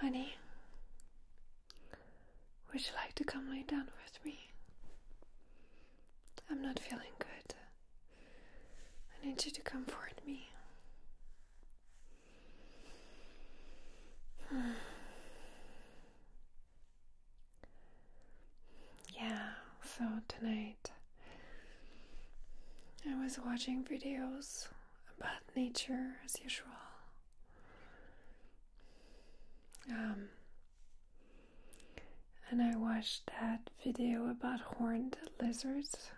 Honey, would you like to come lay down with me? I'm not feeling good. I need you to comfort me. Yeah, so tonight I was watching videos about nature as usual. Um, and I watched that video about horned lizards.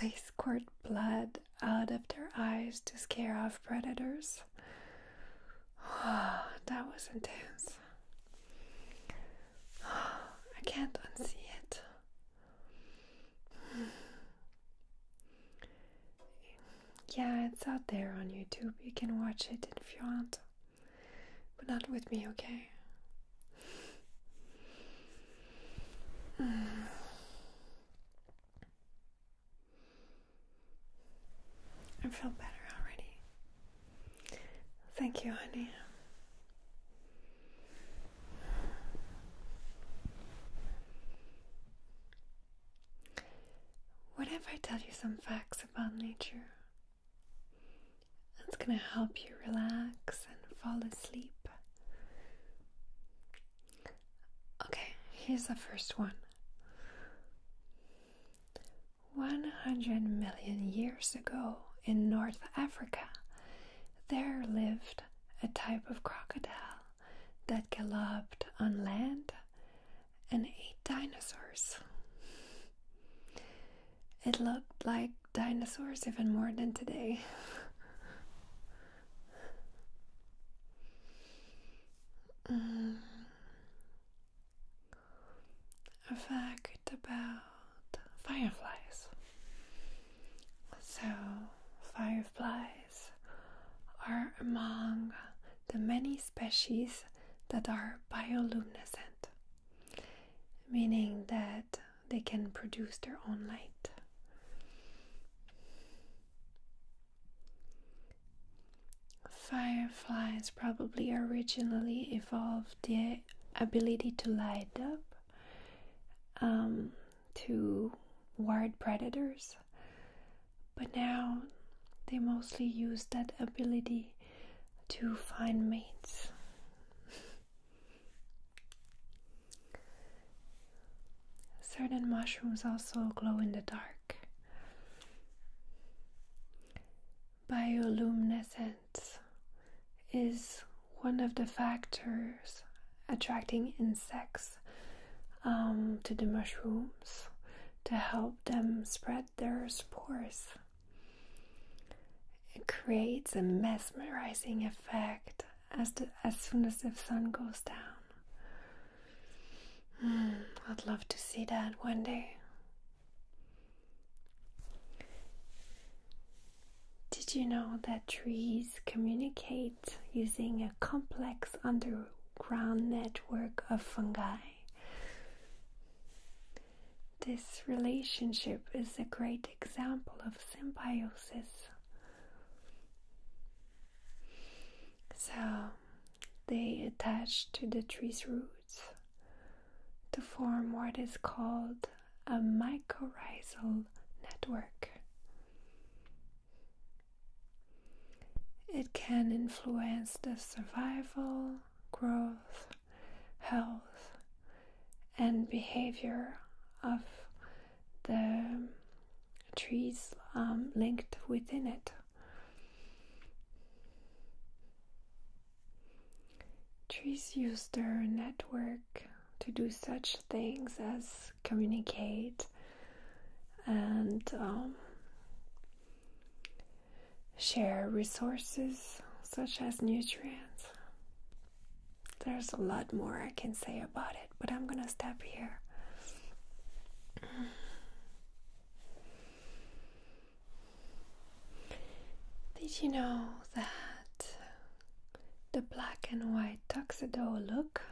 They squirt blood out of their eyes to scare off predators. Oh, that was intense. I can't unsee it. Yeah, it's out there on YouTube. You can watch it if you want. But not with me, okay? I feel better already. Thank you, honey. What if I tell you some facts about nature? That's gonna help you relax and fall asleep. Okay, here's the first one 100 million years ago in North Africa there lived a type of crocodile that galloped on land and ate dinosaurs. It looked like dinosaurs even more than today. mm. Vaak about fireflies. So, fireflies are among the many species that are bioluminescent, meaning that they can produce their own light. Fireflies probably originally evolved the ability to light up um, to ward predators, but now they mostly use that ability to find mates. Certain mushrooms also glow in the dark bioluminescence is one of the factors attracting insects um, to the mushrooms to help them spread their spores. It creates a mesmerizing effect as, soon as the sun goes down. Hmm, I'd love to see that one day. Did you know that trees communicate using a complex underground network of fungi? This relationship is a great example of symbiosis. So they attach to the tree's root to form what is called a mycorrhizal network. It can influence the survival, growth, health, and behavior of the trees um, linked within it. Trees use their network to do such things as communicate and um, share resources such as nutrients. There's a lot more I can say about it, but I'm gonna stop here. Did you know that the black and white tuxedo look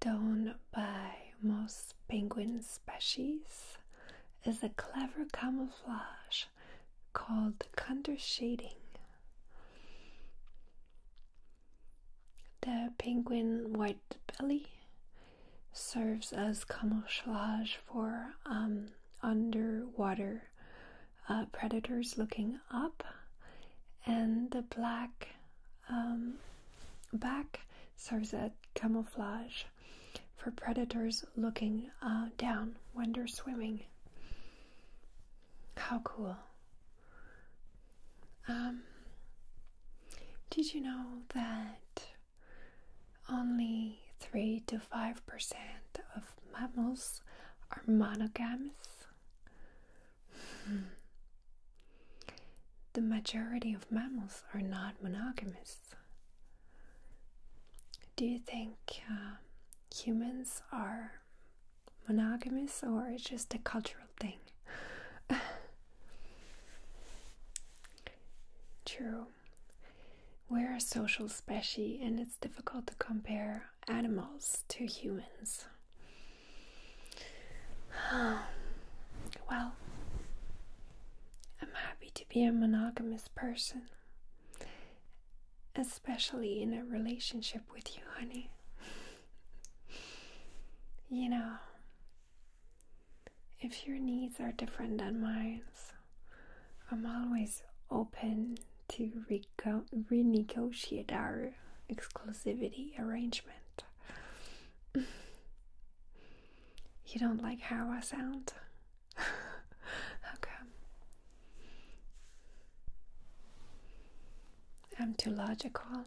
done by most penguin species is a clever camouflage called counter shading? The penguin white belly serves as camouflage for um, underwater uh, predators looking up, and the black um, back serves as camouflage for predators looking uh, down when they're swimming. How cool! Um, did you know that only 3 to 5% of mammals are monogamous. Hmm. The majority of mammals are not monogamous. Do you think uh, humans are monogamous or it's just a cultural thing? True. We're a social species and it's difficult to compare animals to humans. well, I'm happy to be a monogamous person, especially in a relationship with you, honey. you know, if your needs are different than mine, I'm always open to renegotiate our exclusivity arrangement. you don't like how I sound? how I'm too logical.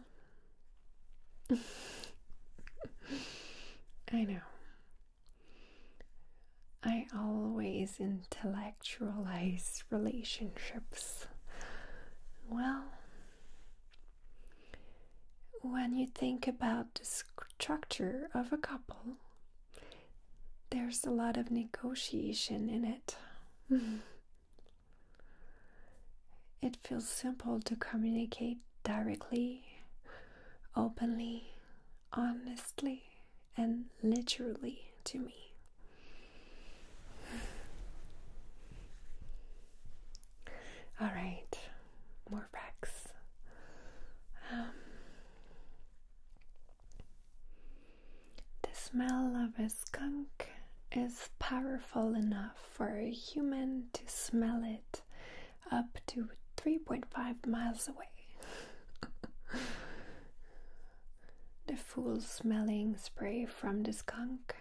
I know. I always intellectualize relationships. Well, when you think about the structure of a couple, there's a lot of negotiation in it. it feels simple to communicate directly openly, honestly, and literally to me. All right, more facts. Um, the smell of a skunk is powerful enough for a human to smell it up to 3.5 miles away. the foul smelling spray from the skunk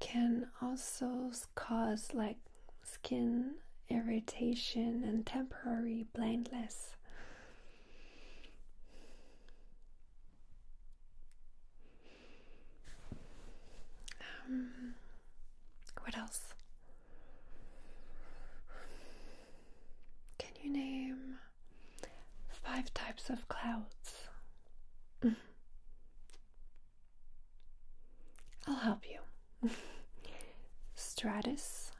can also cause like skin irritation and temporary blindness. Um, what else? Can you name five types of clouds? I'll help you. Stratus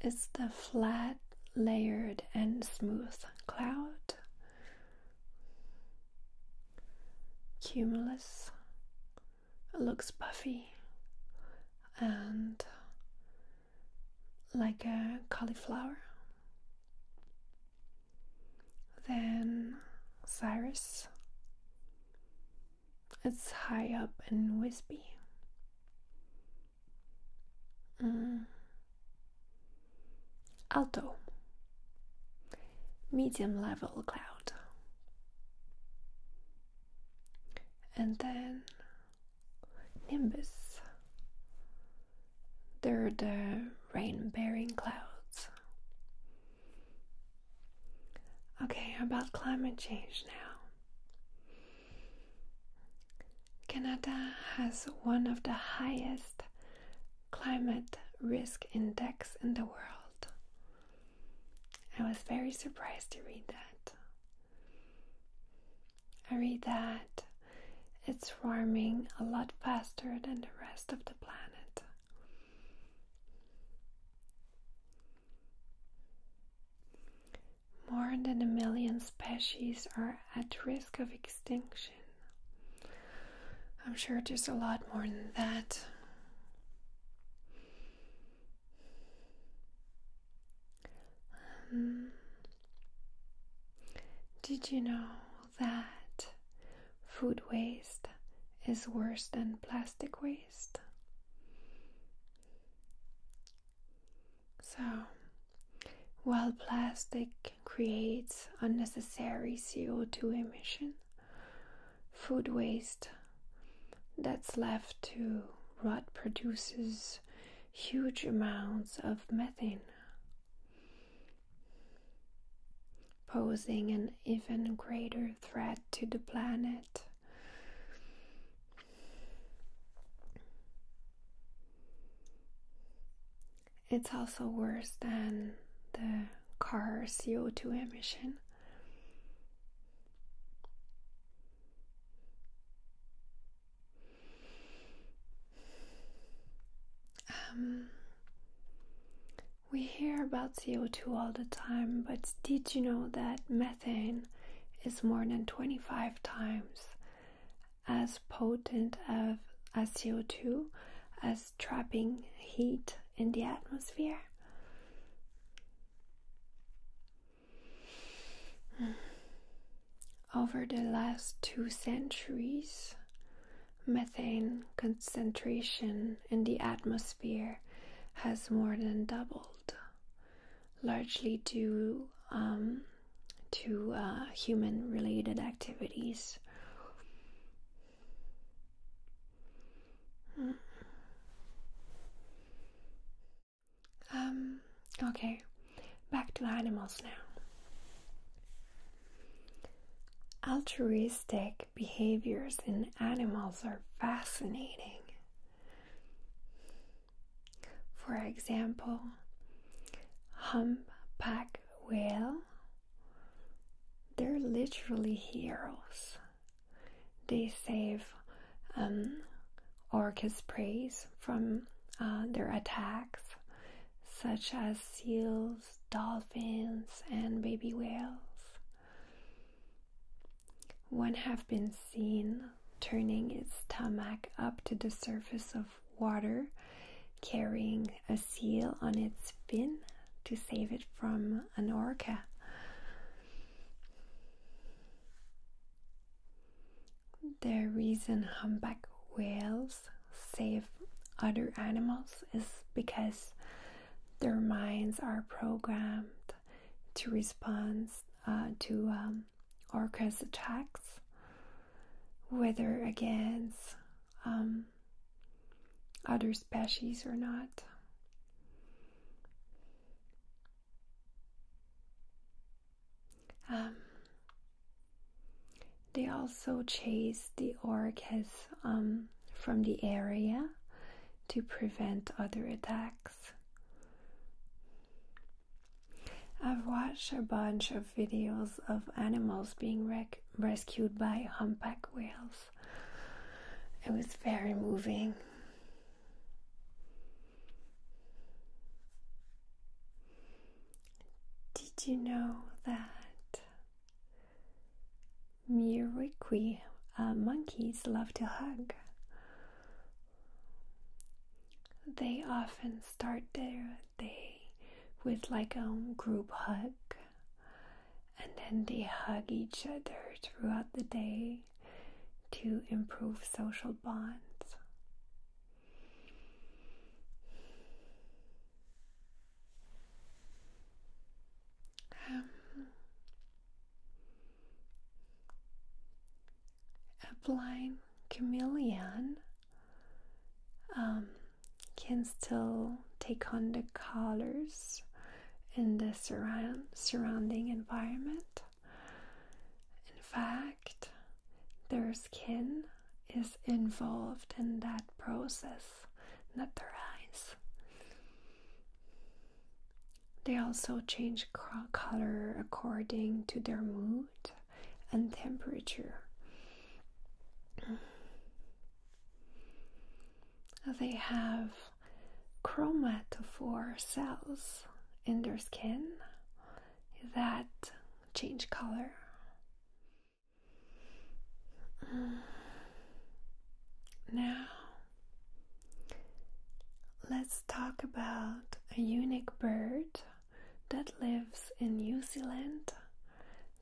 is the flat, layered, and smooth cloud cumulus looks puffy and like a cauliflower. Then Cyrus. It's high up and wispy. Mm. Alto medium level cloud. And then nimbus. They're the rain bearing clouds. Okay, about climate change now. Canada has one of the highest climate risk index in the world. I was very surprised to read that. I read that it's warming a lot faster than the rest of the planet. More than a million species are at risk of extinction. I'm sure there's a lot more than that. Um, did you know that food waste is worse than plastic waste? So, while plastic creates unnecessary CO2 emissions, food waste that's left to rot produces huge amounts of methane, posing an even greater threat to the planet. It's also worse than the car CO2 emission. Um, we hear about CO2 all the time, but did you know that methane is more than 25 times as potent of, as CO2 as trapping heat in the atmosphere. Over the last two centuries, methane concentration in the atmosphere has more than doubled, largely due um, to uh, human related activities. Um, okay, back to animals now. Altruistic behaviors in animals are fascinating. For example, humpback whale they're literally heroes. They save um, orcas' prey from uh, their attacks, such as seals, dolphins, and baby whales. One have been seen turning its stomach up to the surface of water carrying a seal on its fin to save it from an orca. The reason humpback whales save other animals is because their minds are programmed to respond uh, to um, orcas' attacks, whether against um, other species or not. Um, they also chase the orcas um, from the area to prevent other attacks. I've watched a bunch of videos of animals being wrecked rescued by humpback whales. It was very moving. Did you know that Miroqui uh, monkeys love to hug? They often start their day with like a group hug and then they hug each other throughout the day to improve social bonds. a um, blind chameleon um, can still take on the colors in the surrounding environment. In fact, their skin is involved in that process, not their eyes. They also change color according to their mood and temperature they have chromatophore cells in their skin that change color. Now, let's talk about a unique bird that lives in New Zealand,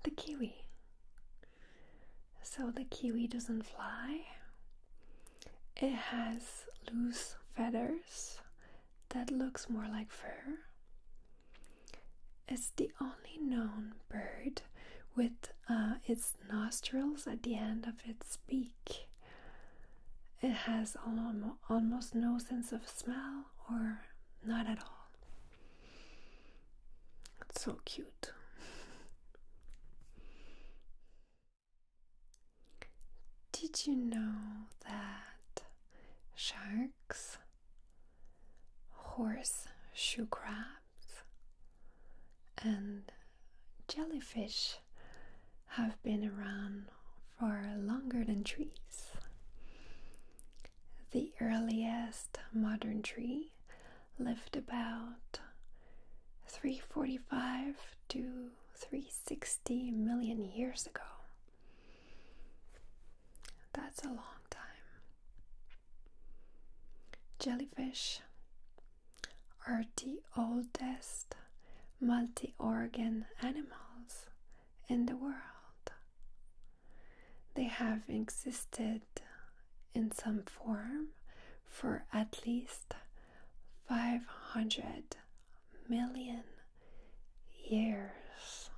the kiwi. So the kiwi doesn't fly. It has loose feathers that looks more like fur. It's the only known bird with uh, its nostrils at the end of its beak. It has almost no sense of smell or not at all. It's so cute. Did you know that sharks, horseshoe crabs, and jellyfish have been around for longer than trees. The earliest modern tree lived about 345 to 360 million years ago. That's a long time. Jellyfish are the oldest multi organ animals in the world. They have existed in some form for at least 500 million years.